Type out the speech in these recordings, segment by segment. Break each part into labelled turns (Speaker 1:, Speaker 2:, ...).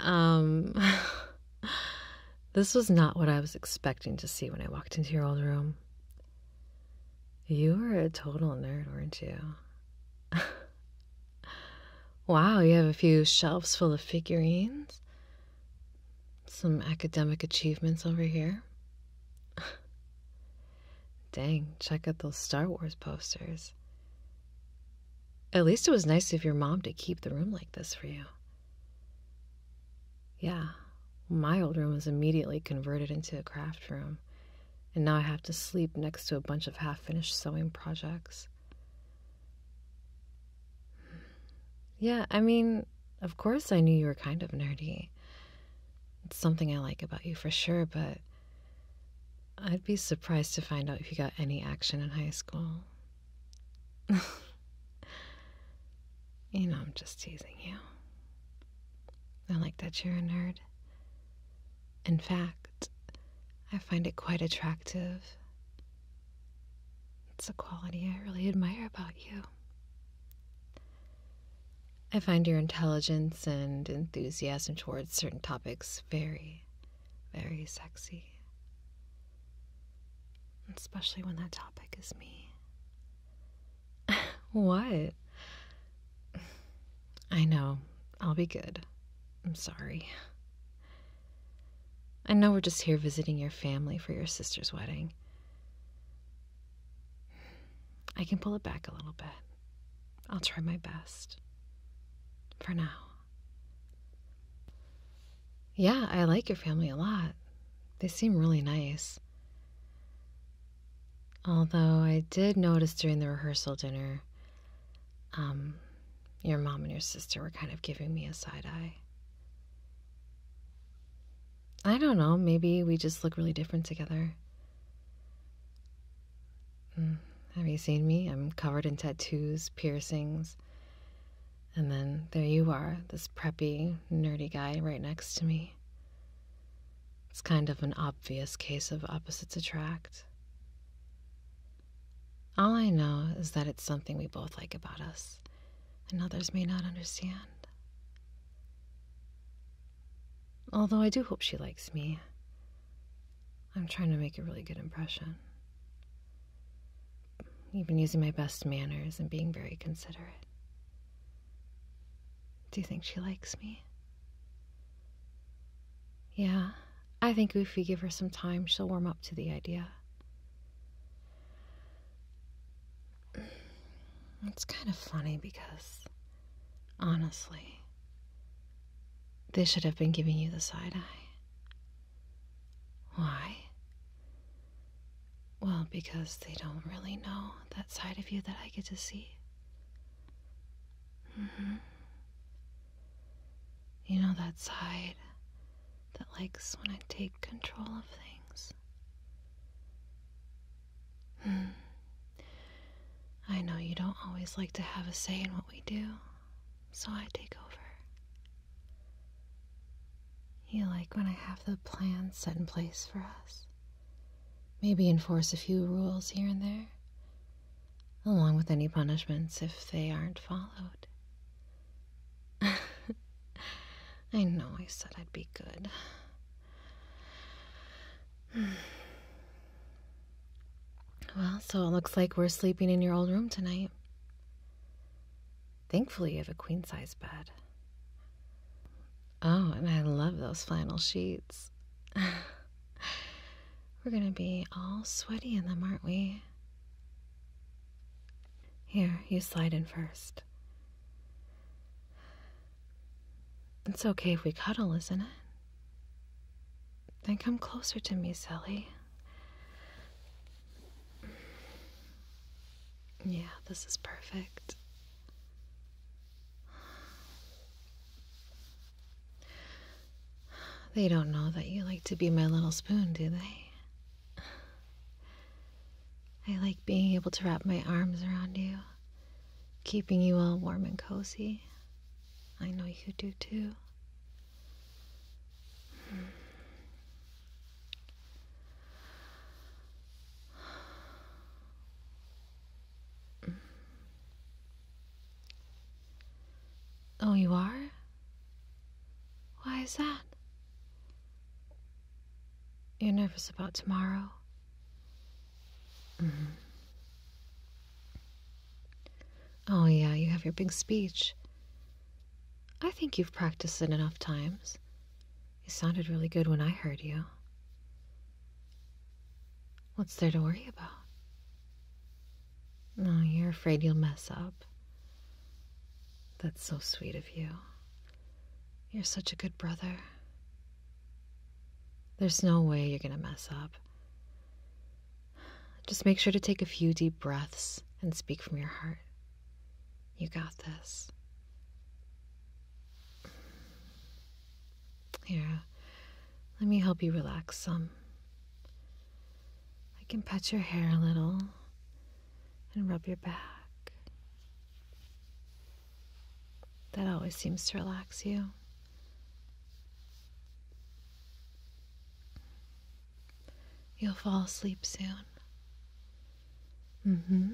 Speaker 1: Um, this was not what I was expecting to see when I walked into your old room. You were a total nerd, weren't you? wow, you have a few shelves full of figurines. Some academic achievements over here. Dang, check out those Star Wars posters. At least it was nice of your mom to keep the room like this for you. Yeah, my old room was immediately converted into a craft room, and now I have to sleep next to a bunch of half finished sewing projects. Hmm. Yeah, I mean, of course I knew you were kind of nerdy. It's something I like about you for sure, but I'd be surprised to find out if you got any action in high school. you know, I'm just teasing you. I like that you're a nerd. In fact, I find it quite attractive. It's a quality I really admire about you. I find your intelligence and enthusiasm towards certain topics very, very sexy. Especially when that topic is me. what? I know. I'll be good. I'm sorry. I know we're just here visiting your family for your sister's wedding. I can pull it back a little bit. I'll try my best. For now. Yeah, I like your family a lot. They seem really nice. Although I did notice during the rehearsal dinner, um, your mom and your sister were kind of giving me a side eye. I don't know, maybe we just look really different together. Mm. Have you seen me? I'm covered in tattoos, piercings. And then there you are, this preppy, nerdy guy right next to me. It's kind of an obvious case of opposites attract. All I know is that it's something we both like about us and others may not understand. Although I do hope she likes me, I'm trying to make a really good impression. Even using my best manners and being very considerate. Do you think she likes me? Yeah, I think if we give her some time, she'll warm up to the idea. It's kind of funny because, honestly, they should have been giving you the side eye. Why? Well, because they don't really know that side of you that I get to see. hmm. You know that side that likes when I take control of things? Hmm. I know you don't always like to have a say in what we do, so I take over. You like when I have the plan set in place for us. Maybe enforce a few rules here and there along with any punishments if they aren't followed. I know I said I'd be good. Well, so it looks like we're sleeping in your old room tonight. Thankfully, you have a queen size bed. Oh, and I love those flannel sheets. We're gonna be all sweaty in them, aren't we? Here, you slide in first. It's okay if we cuddle, isn't it? Then come closer to me, Sally. Yeah, this is perfect. They don't know that you like to be my little spoon, do they? I like being able to wrap my arms around you, keeping you all warm and cozy. I know you do too. Oh, you are? Why is that? You're nervous about tomorrow? Mm-hmm. Oh, yeah, you have your big speech. I think you've practiced it enough times. You sounded really good when I heard you. What's there to worry about? No, you're afraid you'll mess up. That's so sweet of you. You're such a good brother. There's no way you're going to mess up. Just make sure to take a few deep breaths and speak from your heart. You got this. Here, let me help you relax some. I can pat your hair a little and rub your back. That always seems to relax you. You'll fall asleep soon. Mm hmm.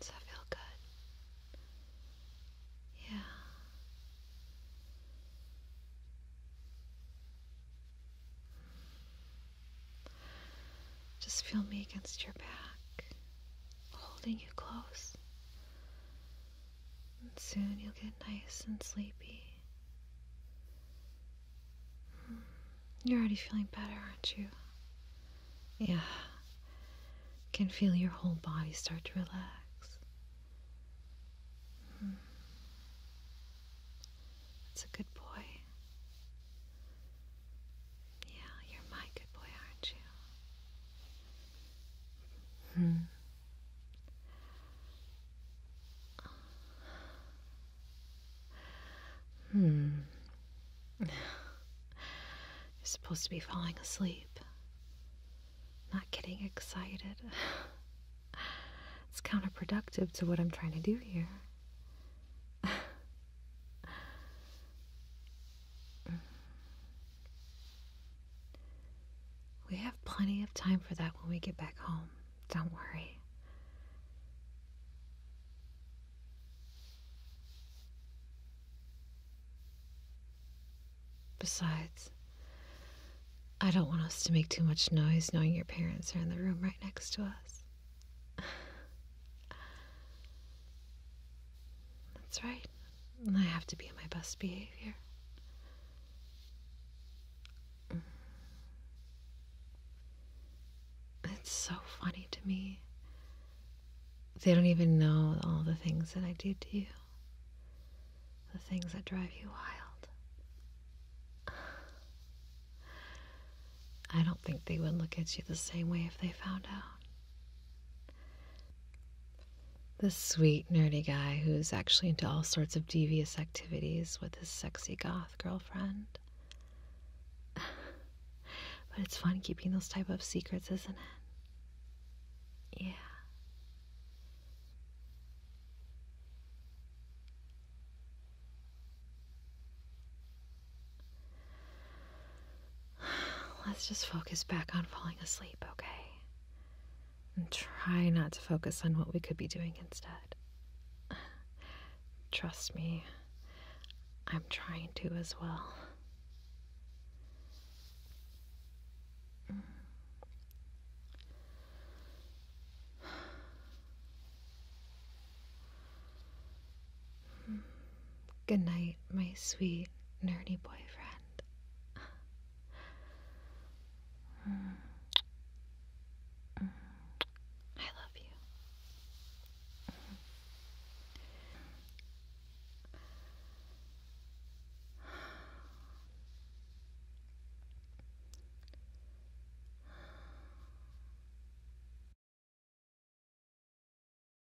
Speaker 1: Does that feel good? Yeah. Just feel me against your back, holding you close. And soon you'll get nice and sleepy. You're already feeling better, aren't you? Yeah. Can feel your whole body start to relax. Mm. That's a good boy. Yeah, you're my good boy, aren't you? Hmm. Hmm. You're supposed to be falling asleep, not getting excited. It's counterproductive to what I'm trying to do here. We have plenty of time for that when we get back home. Don't worry. Besides, I don't want us to make too much noise knowing your parents are in the room right next to us. That's right. And I have to be in my best behavior. Mm. It's so funny to me. They don't even know all the things that I do to you, the things that drive you wild. I don't think they would look at you the same way if they found out. The sweet, nerdy guy who's actually into all sorts of devious activities with his sexy goth girlfriend. but it's fun keeping those type of secrets, isn't it? Yeah. Let's just focus back on falling asleep, okay? and try not to focus on what we could be doing instead. Trust me, I'm trying to as well. Good night, my sweet, nerdy boyfriend. I love you.